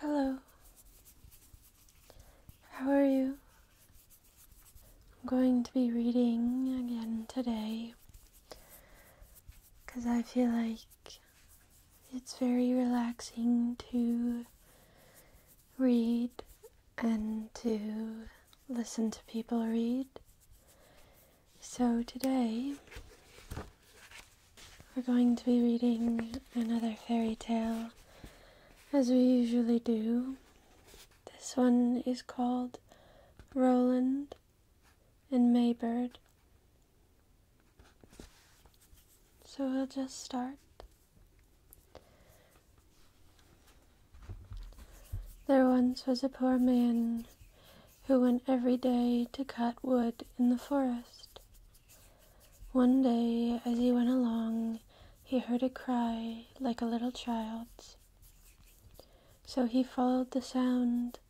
Hello. How are you? I'm going to be reading again today because I feel like it's very relaxing to read and to listen to people read. So today we're going to be reading another fairy tale as we usually do. This one is called Roland and Maybird. So we'll just start. There once was a poor man who went every day to cut wood in the forest. One day, as he went along, he heard a cry like a little child's. So he followed the sound,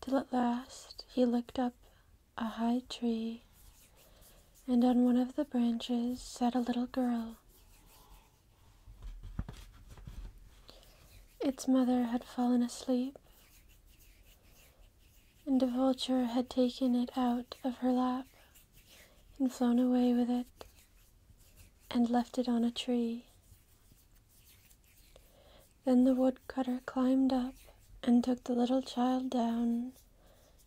till at last he looked up a high tree, and on one of the branches sat a little girl. Its mother had fallen asleep, and a vulture had taken it out of her lap and flown away with it and left it on a tree. Then the woodcutter climbed up and took the little child down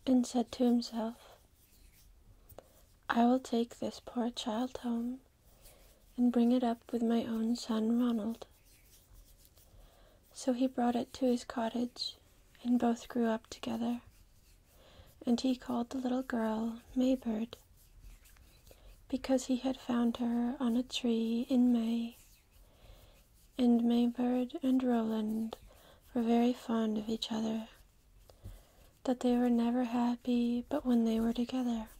and said to himself, I will take this poor child home and bring it up with my own son Ronald. So he brought it to his cottage, and both grew up together. And he called the little girl Maybird, because he had found her on a tree in May. And Maybird and Roland were very fond of each other, that they were never happy but when they were together.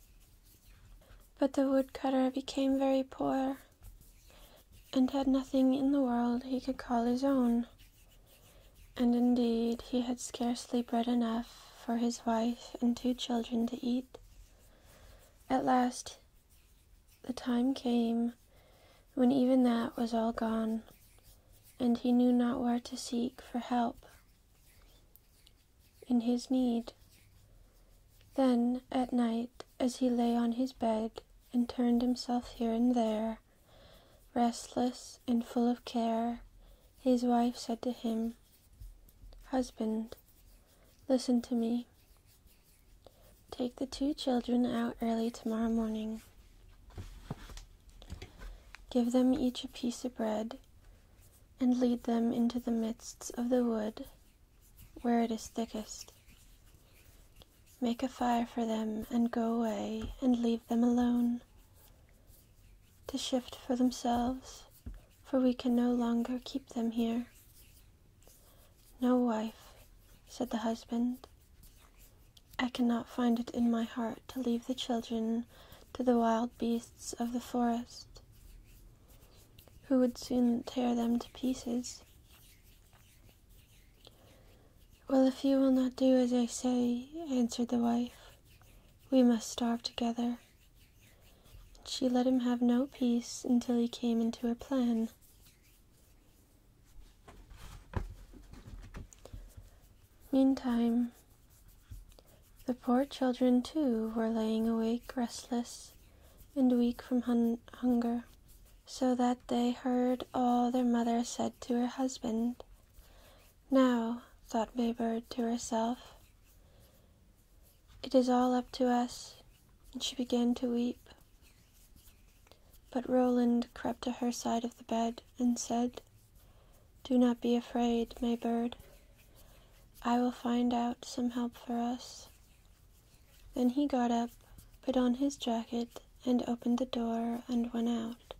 But the woodcutter became very poor and had nothing in the world he could call his own. And indeed, he had scarcely bread enough for his wife and two children to eat. At last, the time came when even that was all gone, and he knew not where to seek for help in his need. Then, at night, as he lay on his bed and turned himself here and there, restless and full of care, his wife said to him, Husband, listen to me. Take the two children out early tomorrow morning. Give them each a piece of bread, and lead them into the midst of the wood where it is thickest. Make a fire for them and go away and leave them alone to shift for themselves, for we can no longer keep them here. No, wife, said the husband. I cannot find it in my heart to leave the children to the wild beasts of the forest who would soon tear them to pieces. Well, if you will not do as I say, answered the wife, we must starve together. And she let him have no peace until he came into her plan. Meantime, the poor children too were lying awake restless and weak from hunger. So that they heard all their mother said to her husband. Now, thought Maybird to herself, it is all up to us, and she began to weep. But Roland crept to her side of the bed and said, Do not be afraid, Maybird. I will find out some help for us. Then he got up, put on his jacket, and opened the door and went out.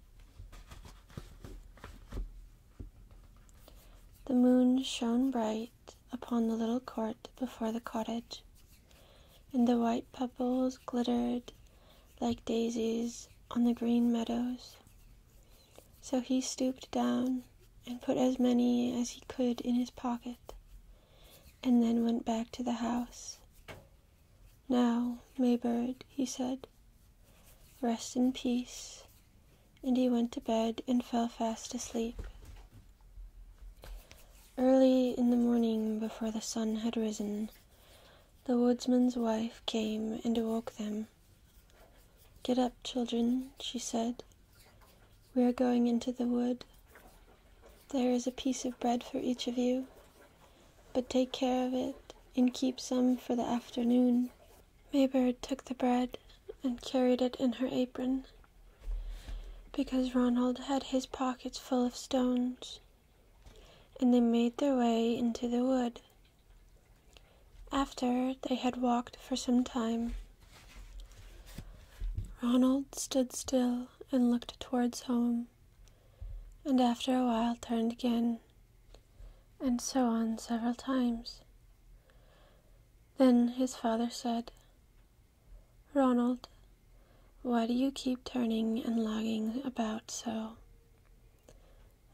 The moon shone bright upon the little court before the cottage, and the white pebbles glittered like daisies on the green meadows. So he stooped down and put as many as he could in his pocket, and then went back to the house. Now, Maybird, he said, rest in peace, and he went to bed and fell fast asleep. Early in the morning, before the sun had risen, the woodsman's wife came and awoke them. Get up, children, she said. We are going into the wood. There is a piece of bread for each of you, but take care of it and keep some for the afternoon. Maybird took the bread and carried it in her apron because Ronald had his pockets full of stones, and they made their way into the wood. After they had walked for some time, Ronald stood still and looked towards home, and after a while turned again, and so on several times. Then his father said, Ronald, why do you keep turning and logging about so?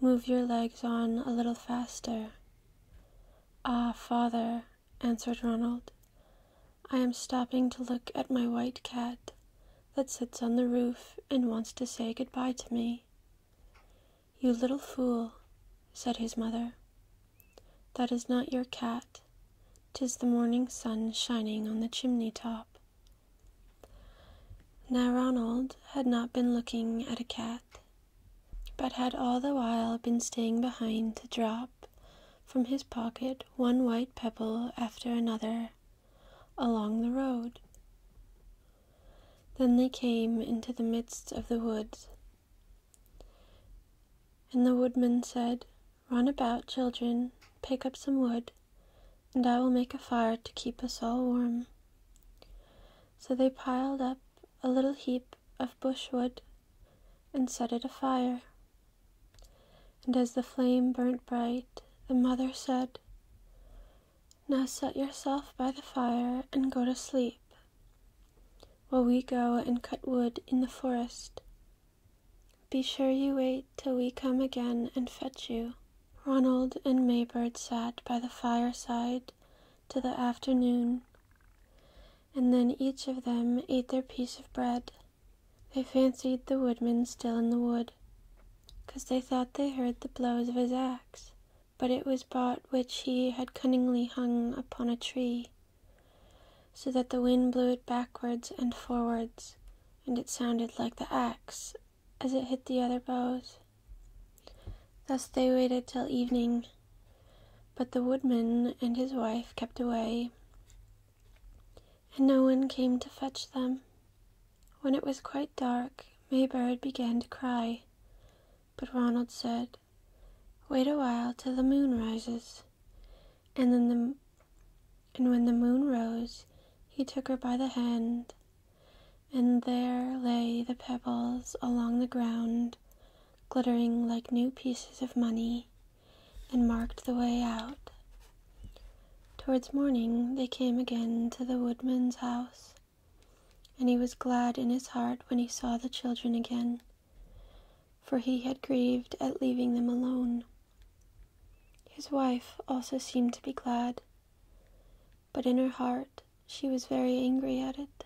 Move your legs on a little faster. Ah, father, answered Ronald. I am stopping to look at my white cat that sits on the roof and wants to say good bye to me. You little fool, said his mother. That is not your cat; 'tis the morning sun shining on the chimney top. Now Ronald had not been looking at a cat but had all the while been staying behind to drop from his pocket one white pebble after another along the road. Then they came into the midst of the woods. And the woodman said, Run about, children, pick up some wood, and I will make a fire to keep us all warm. So they piled up a little heap of bushwood and set it afire. And as the flame burnt bright, the mother said, Now set yourself by the fire and go to sleep, while we go and cut wood in the forest. Be sure you wait till we come again and fetch you. Ronald and Maybird sat by the fireside till the afternoon, and then each of them ate their piece of bread. They fancied the woodman still in the wood, cause they thought they heard the blows of his axe, but it was bought which he had cunningly hung upon a tree, so that the wind blew it backwards and forwards, and it sounded like the axe as it hit the other boughs. Thus they waited till evening, but the woodman and his wife kept away, and no one came to fetch them. When it was quite dark, Maybird began to cry, but Ronald said, Wait a while till the moon rises. And then the and when the moon rose, he took her by the hand, and there lay the pebbles along the ground glittering like new pieces of money, and marked the way out. Towards morning they came again to the woodman's house, and he was glad in his heart when he saw the children again, for he had grieved at leaving them alone. His wife also seemed to be glad, but in her heart she was very angry at it.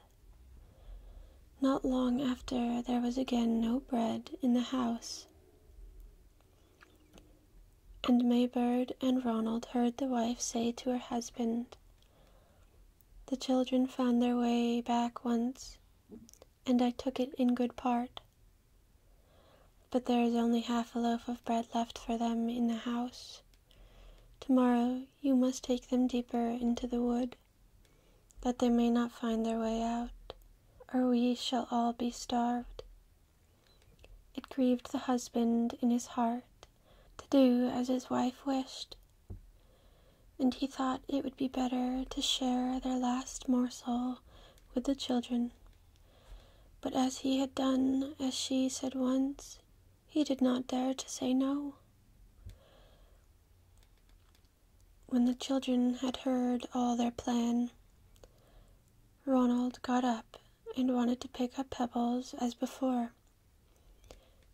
Not long after, there was again no bread in the house. And Maybird and Ronald heard the wife say to her husband, The children found their way back once, and I took it in good part. But there is only half a loaf of bread left for them in the house. Tomorrow you must take them deeper into the wood, that they may not find their way out, or we shall all be starved. It grieved the husband in his heart to do as his wife wished, and he thought it would be better to share their last morsel with the children. But as he had done as she said once, he did not dare to say no. When the children had heard all their plan, Ronald got up and wanted to pick up pebbles as before.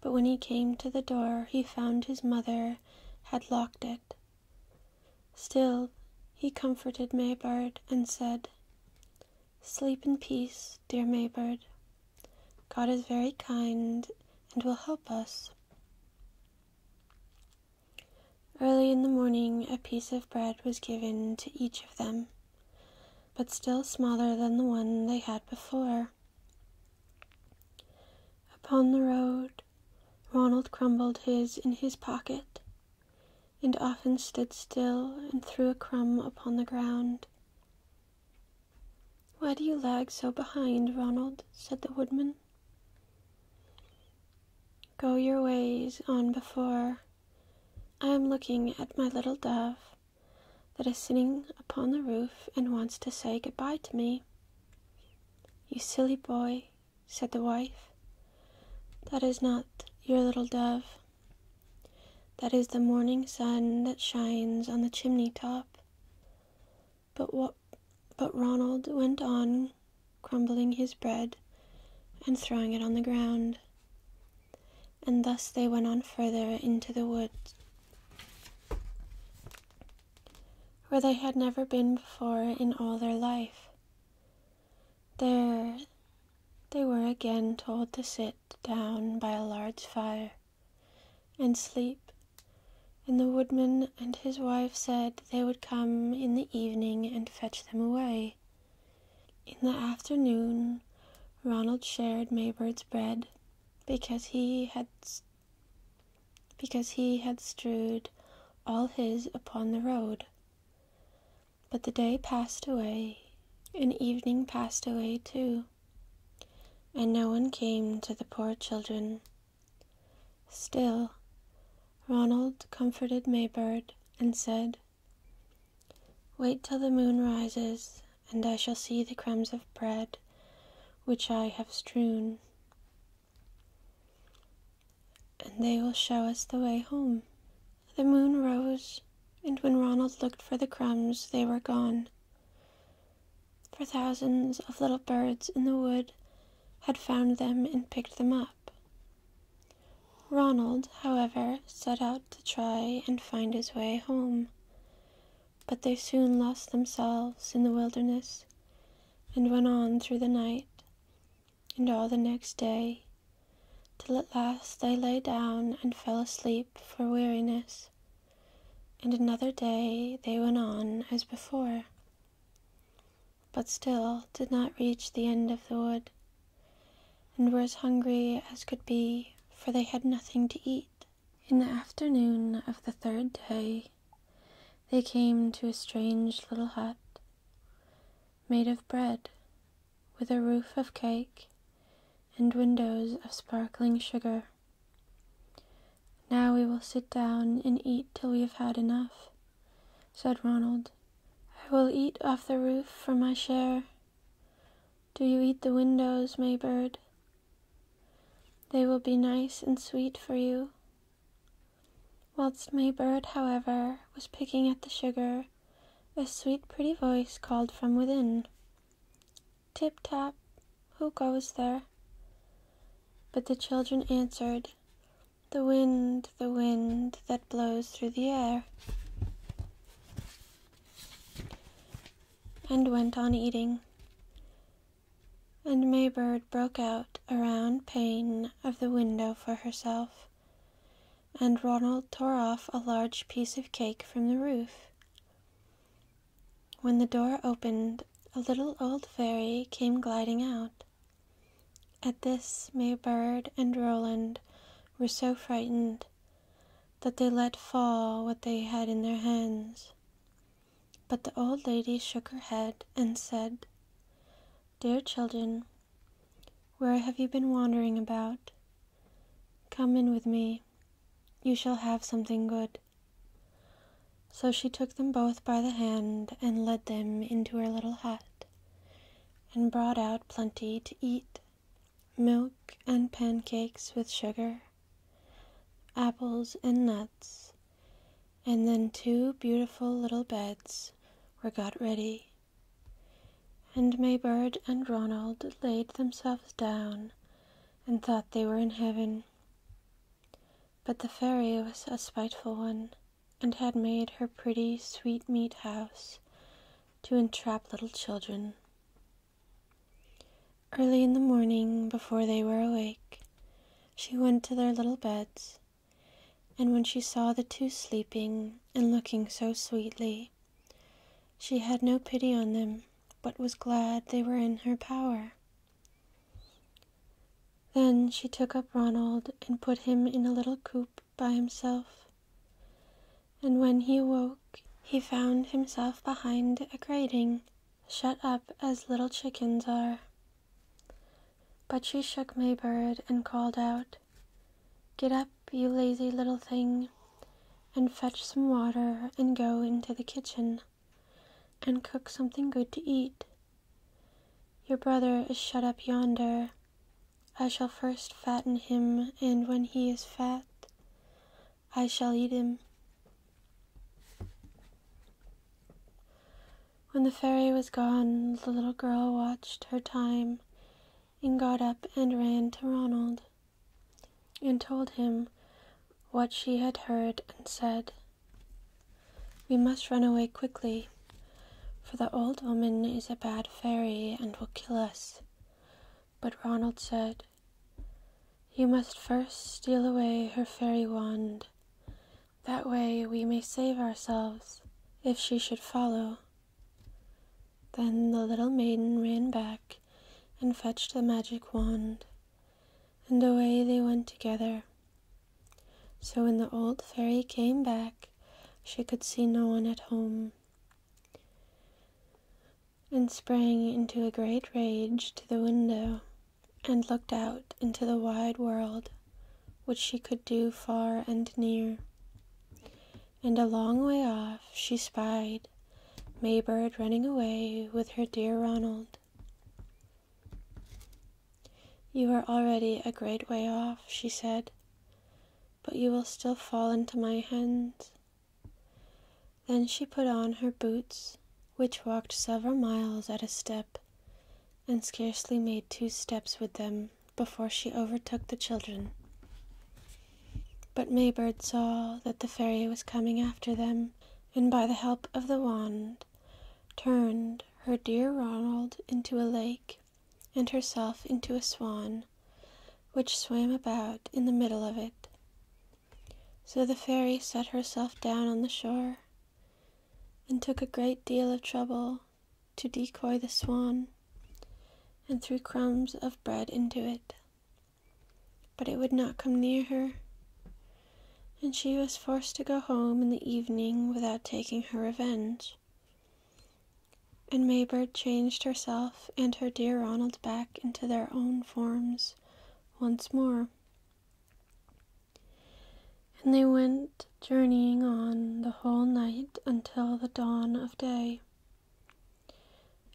But when he came to the door, he found his mother had locked it. Still, he comforted Maybird and said, Sleep in peace, dear Maybird. God is very kind and will help us. Early in the morning, a piece of bread was given to each of them, but still smaller than the one they had before. Upon the road, Ronald crumbled his in his pocket, and often stood still and threw a crumb upon the ground. Why do you lag so behind, Ronald? said the woodman. Go your ways on before. I am looking at my little dove that is sitting upon the roof and wants to say good goodbye to me. You silly boy, said the wife. That is not your little dove. That is the morning sun that shines on the chimney top. But but Ronald went on crumbling his bread and throwing it on the ground. And thus they went on further into the woods, where they had never been before in all their life. There they were again told to sit down by a large fire, and sleep. And the woodman and his wife said they would come in the evening and fetch them away. In the afternoon, Ronald shared Maybird's bread because he had because he had strewed all his upon the road. But the day passed away, and evening passed away too and no one came to the poor children. Still, Ronald comforted Maybird and said, Wait till the moon rises, and I shall see the crumbs of bread which I have strewn, and they will show us the way home. The moon rose, and when Ronald looked for the crumbs, they were gone for thousands of little birds in the wood had found them and picked them up. Ronald, however, set out to try and find his way home, but they soon lost themselves in the wilderness and went on through the night and all the next day, till at last they lay down and fell asleep for weariness and another day they went on as before, but still did not reach the end of the wood, and were as hungry as could be, for they had nothing to eat. In the afternoon of the third day, they came to a strange little hut made of bread, with a roof of cake and windows of sparkling sugar. Now we will sit down and eat till we have had enough, said Ronald. I will eat off the roof for my share. Do you eat the windows, Maybird? They will be nice and sweet for you. Whilst Maybird, however, was picking at the sugar, a sweet, pretty voice called from within. Tip tap, who goes there? But the children answered, The wind, the wind that blows through the air. And went on eating. And Maybird broke out a round pane of the window for herself, and Ronald tore off a large piece of cake from the roof. When the door opened, a little old fairy came gliding out. At this, Maybird and Roland were so frightened that they let fall what they had in their hands. But the old lady shook her head and said, Dear children, where have you been wandering about? Come in with me, you shall have something good. So she took them both by the hand and led them into her little hut, and brought out plenty to eat milk and pancakes with sugar, apples and nuts, and then two beautiful little beds were got ready. And Maybird and Ronald laid themselves down and thought they were in heaven. But the fairy was a spiteful one, and had made her pretty sweetmeat house to entrap little children. Early in the morning, before they were awake, she went to their little beds, and when she saw the two sleeping and looking so sweetly, she had no pity on them, but was glad they were in her power. Then she took up Ronald and put him in a little coop by himself. And when he awoke, he found himself behind a grating, shut up as little chickens are. But she shook Maybird and called out, Get up!" Be you lazy little thing, and fetch some water and go into the kitchen and cook something good to eat. Your brother is shut up yonder. I shall first fatten him, and when he is fat, I shall eat him. When the fairy was gone, the little girl watched her time and got up and ran to Ronald and told him what she had heard and said, We must run away quickly, for the old woman is a bad fairy and will kill us. But Ronald said, You must first steal away her fairy wand. That way we may save ourselves if she should follow. Then the little maiden ran back and fetched the magic wand, and away they went together. So when the old fairy came back, she could see no one at home, and sprang into a great rage to the window, and looked out into the wide world, which she could do far and near and a long way off she spied Maybird running away with her dear Ronald. You are already a great way off, she said, but you will still fall into my hands. Then she put on her boots, which walked several miles at a step, and scarcely made two steps with them before she overtook the children. But Maybird saw that the fairy was coming after them, and by the help of the wand, turned her dear Ronald into a lake and herself into a swan, which swam about in the middle of it. So the fairy set herself down on the shore and took a great deal of trouble to decoy the swan and threw crumbs of bread into it. But it would not come near her, and she was forced to go home in the evening without taking her revenge. And Maybird changed herself and her dear Ronald back into their own forms once more. And they went journeying on the whole night until the dawn of day.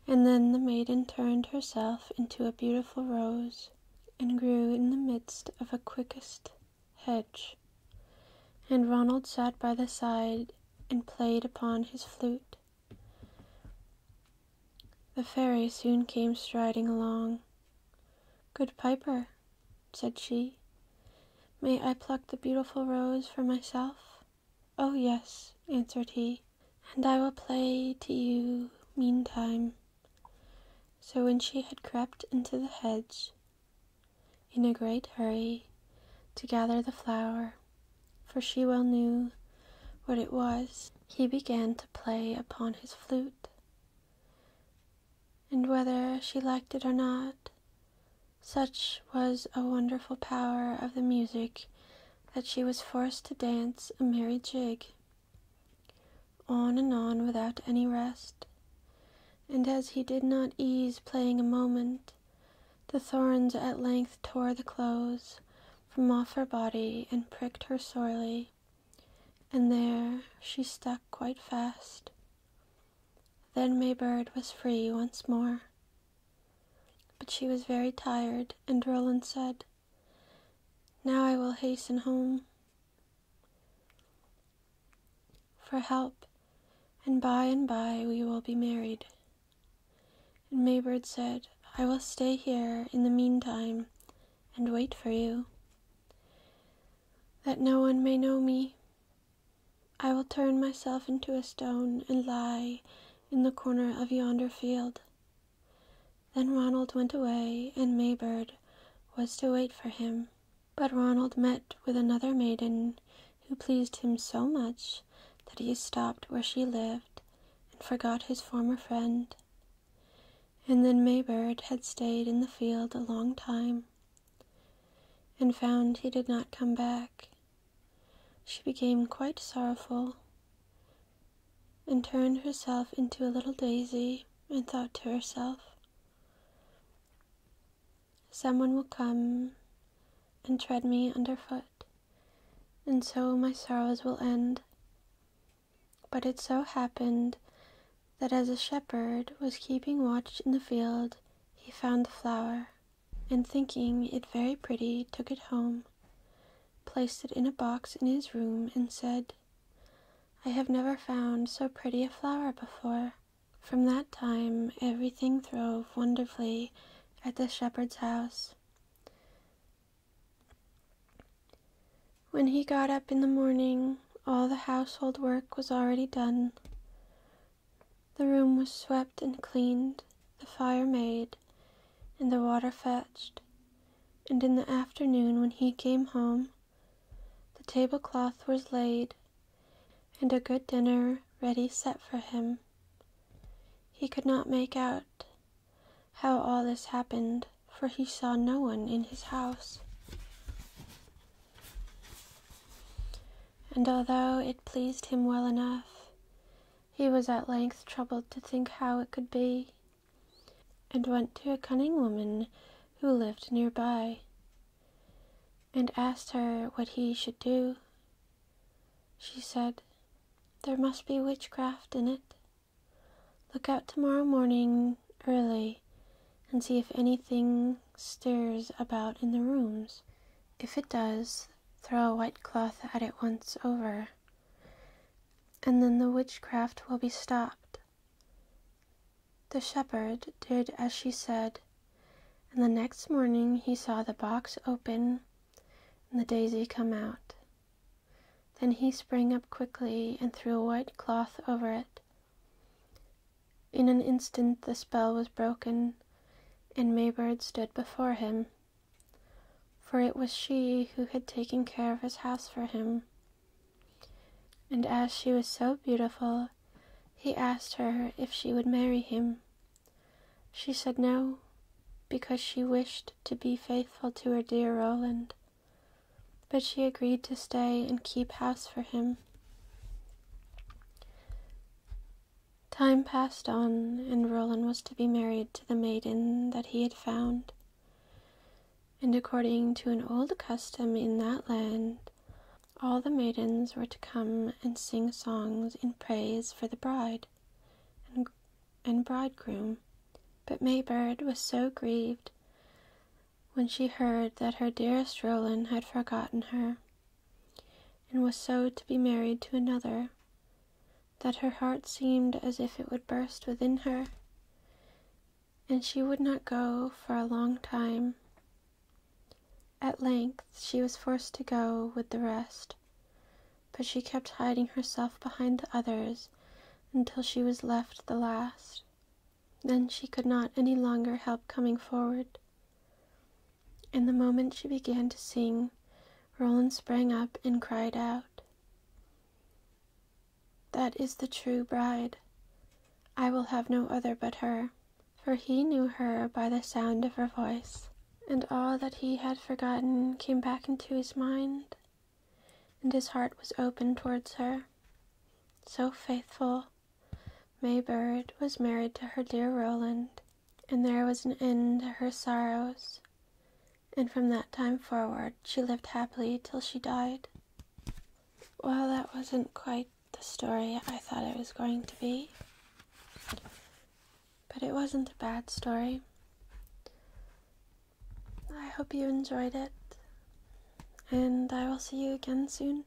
And then the maiden turned herself into a beautiful rose, and grew in the midst of a quickest hedge. And Ronald sat by the side and played upon his flute. The fairy soon came striding along. Good piper, said she, may I pluck the beautiful rose for myself? Oh, yes, answered he, and I will play to you meantime. So when she had crept into the hedge, in a great hurry, to gather the flower, for she well knew what it was, he began to play upon his flute. And whether she liked it or not, such was a wonderful power of the music that she was forced to dance a merry jig on and on without any rest. And as he did not ease playing a moment, the thorns at length tore the clothes from off her body and pricked her sorely, and there she stuck quite fast. Then Maybird was free once more. But she was very tired, and Roland said, Now I will hasten home for help, and by and by we will be married. And Maybird said, I will stay here in the meantime and wait for you, that no one may know me, I will turn myself into a stone and lie in the corner of yonder field. Then Ronald went away, and Maybird was to wait for him. But Ronald met with another maiden who pleased him so much that he stopped where she lived and forgot his former friend. And then Maybird had stayed in the field a long time and found he did not come back she became quite sorrowful and turned herself into a little daisy and thought to herself, "Some one will come and tread me under foot, and so my sorrows will end. But it so happened that as a shepherd was keeping watch in the field, he found the flower and thinking it very pretty, took it home, placed it in a box in his room, and said, I have never found so pretty a flower before. From that time, everything throve wonderfully at the shepherd's house. When he got up in the morning, all the household work was already done. The room was swept and cleaned, the fire made, and the water fetched, and in the afternoon when he came home, the tablecloth was laid, and a good dinner ready set for him. He could not make out how all this happened, for he saw no one in his house and although it pleased him well enough, he was at length troubled to think how it could be, and went to a cunning woman who lived near by, and asked her what he should do. She said, There must be witchcraft in it. Look out tomorrow morning early and see if anything stirs about in the rooms. If it does, throw a white cloth at it once over, and then the witchcraft will be stopped. The shepherd did as she said, and the next morning he saw the box open and the daisy come out. Then he sprang up quickly and threw a white cloth over it. In an instant the spell was broken, and Maybird stood before him. For it was she who had taken care of his house for him. And as she was so beautiful, he asked her if she would marry him. She said no, because she wished to be faithful to her dear Roland, but she agreed to stay and keep house for him. Time passed on, and Roland was to be married to the maiden that he had found. And according to an old custom in that land, all the maidens were to come and sing songs in praise for the bride and, and bridegroom. But Maybird was so grieved when she heard that her dearest Roland had forgotten her and was so to be married to another that her heart seemed as if it would burst within her, and she would not go for a long time. At length she was forced to go with the rest, but she kept hiding herself behind the others until she was left the last. Then she could not any longer help coming forward. And the moment she began to sing, Roland sprang up and cried out, That is the true bride. I will have no other but her. For he knew her by the sound of her voice, and all that he had forgotten came back into his mind, and his heart was open towards her. So faithful, Maybird was married to her dear Roland, and there was an end to her sorrows, and from that time forward she lived happily till she died. Well, that wasn't quite the story I thought it was going to be, but it wasn't a bad story. I hope you enjoyed it, and I will see you again soon.